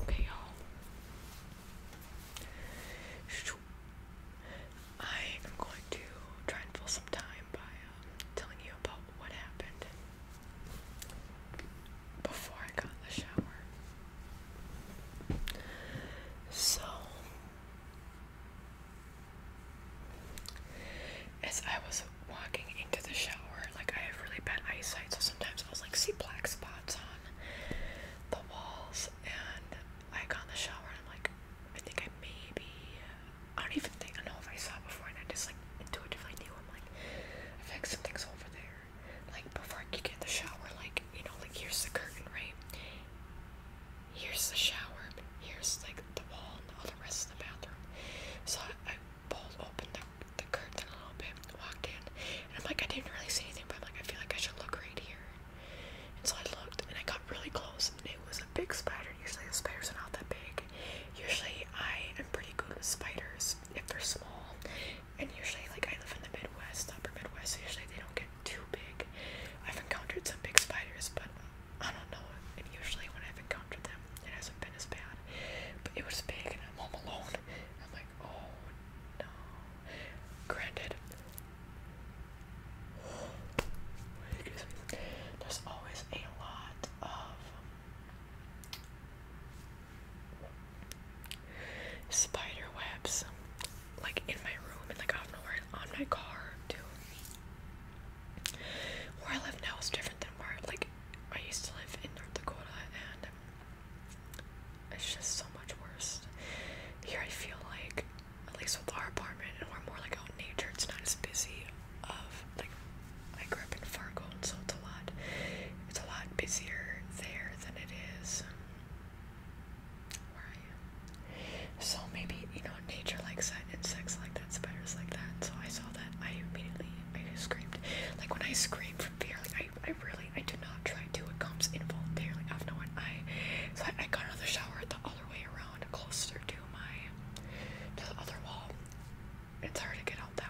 Okay, y'all. I am going to try and fill some time by um, telling you about what happened before I got in the shower. So, as I was walking into the shower, like I have really bad eyesight, so sometimes I was like, see black spots on the walls, and I got in the shower and I'm like, I think I maybe, I don't even think I know if I saw it before, and I just like intuitively knew I'm like, I feel like something's over there like before I you get in the shower, like you know, like here's the curtain, right? Here's the shower, here's like the wall and all the rest of the bathroom. So I, pulled open the, the curtain a little bit, walked in, and I'm like, I didn't really see anything, but I'm like, I feel like I should look right here. And so I looked, and I got really close, and it was a big spider. Usually the spiders are not that big. Usually I am pretty good with spiders if they're small, and usually, like, I live in the Midwest, upper Midwest, usually they don't get too big. I've encountered some big spiders, but I don't know. And usually, when I've encountered them, it hasn't been as bad. But it was big, and I'm home alone. I'm like, oh no. Granted, there's always a lot of Spider webs, like in my room and like out nowhere on my car too. Where I live now is different than where like I used to live in North Dakota, and it's just so much worse. Here I feel like, at least with our apartment, and we're more like out in nature. It's not as busy. Of like, I grew up in Fargo, and so it's a lot it's a lot busier there than it is where I am. So maybe, you know, nature likes that, insects like that, spiders like that. So I saw that, I immediately, I screamed. Like when I scream from fear, like I, I really, I do not try to. It comes involuntarily. I've no one, I, so I, I got out the shower the other way around, closer to my, to the other wall. It's hard to get out that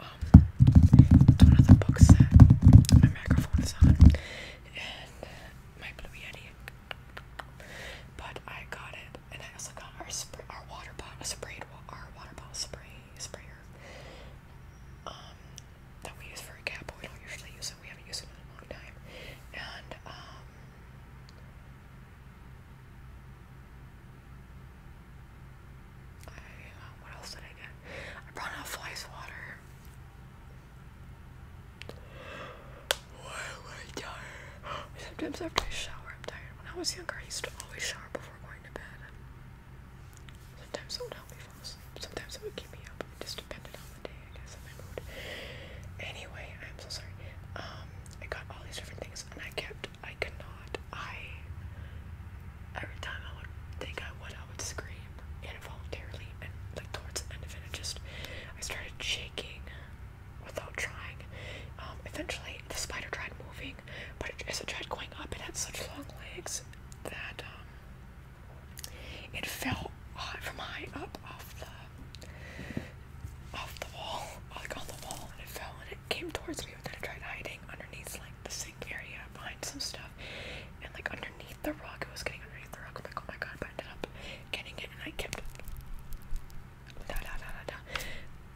um, one of the books that my microphone is on, and uh, my Blue Yeti, but I got it, and I also got our, spray, our water bottle, sprayed, our water bottle spray, sprayer, um, that we use for a cap, but we don't usually use it, we haven't used it in a long time, and, um, I, uh, what else did I get? I brought out flies water. Why am I tired? Sometimes after I shower, I'm tired. When I was younger, I used to always shower before going to bed. Sometimes it would help me fall asleep. Sometimes it would keep me up. It just depended on the day, I guess, and my mood. Anyway, I'm so sorry. Um, I got all these different things, and I kept. I could not. I every time I would think I would, I would scream involuntarily, and like towards the end it, I just I started shaking without trying. Um, eventually, the spider tried moving, but as it tried going up, it had such long legs that um, it fell uh, from high up off the off the wall, like on the wall, and it fell and it came towards me. And then it tried hiding underneath like the sink area behind some stuff and like underneath the rug. It was getting underneath the rug. I'm like, oh my god, I ended up getting it and I kept Da, da, da, da, da.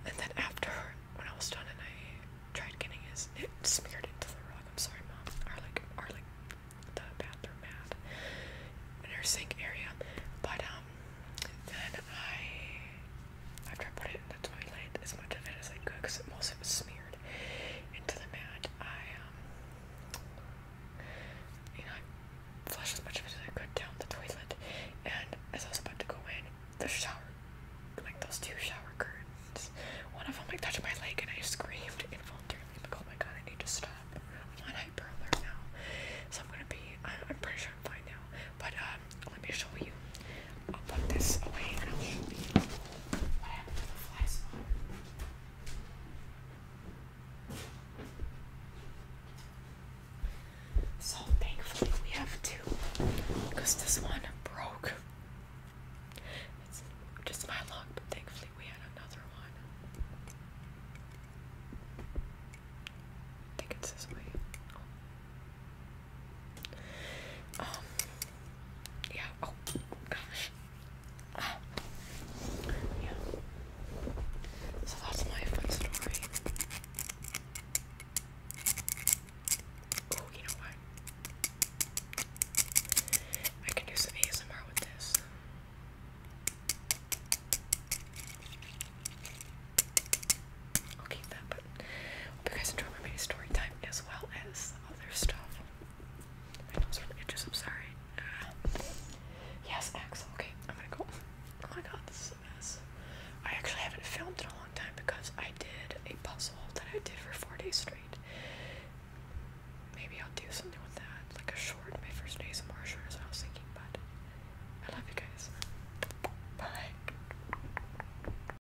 And then after when I was done and I tried getting his it smeared into the rug. I'm sorry mom. Or like or like the bathroom mat in her sink area. But um then I after I put it. That's why I laid as much of it as I could because most of it was smeared into the mat. I, um, flushed as much of it as I could down the toilet. And as I was about to go in, the shower, like those two shower curtains, one of them like touched my leg and I screamed involuntarily. I'm like, oh my god, I need to stop. I'm on hyper alert now. So I'm gonna be, I'm, I'm pretty sure I'm fine now. But um, let me show you. I'll put this away and I'll show you what happened to the fly So thankfully we have two this one broke. It's just my luck, but thankfully we had another one. think it's this way. Um, yeah, oh gosh. Um, yeah. So that's my fun story. Oh, you know what? I can do some ASMR with this. I'll keep that, but hope you guys enjoy my mini story time as well as other stuff. I'm sorry. Uh, yes, excellent. Okay, I'm gonna go. Oh my god, this is a mess. I actually haven't filmed in a long time because I did a puzzle that I did for four days straight. Maybe I'll do something with that, like a short. My first days in Marshall short, as I was thinking, but I love you guys. Bye.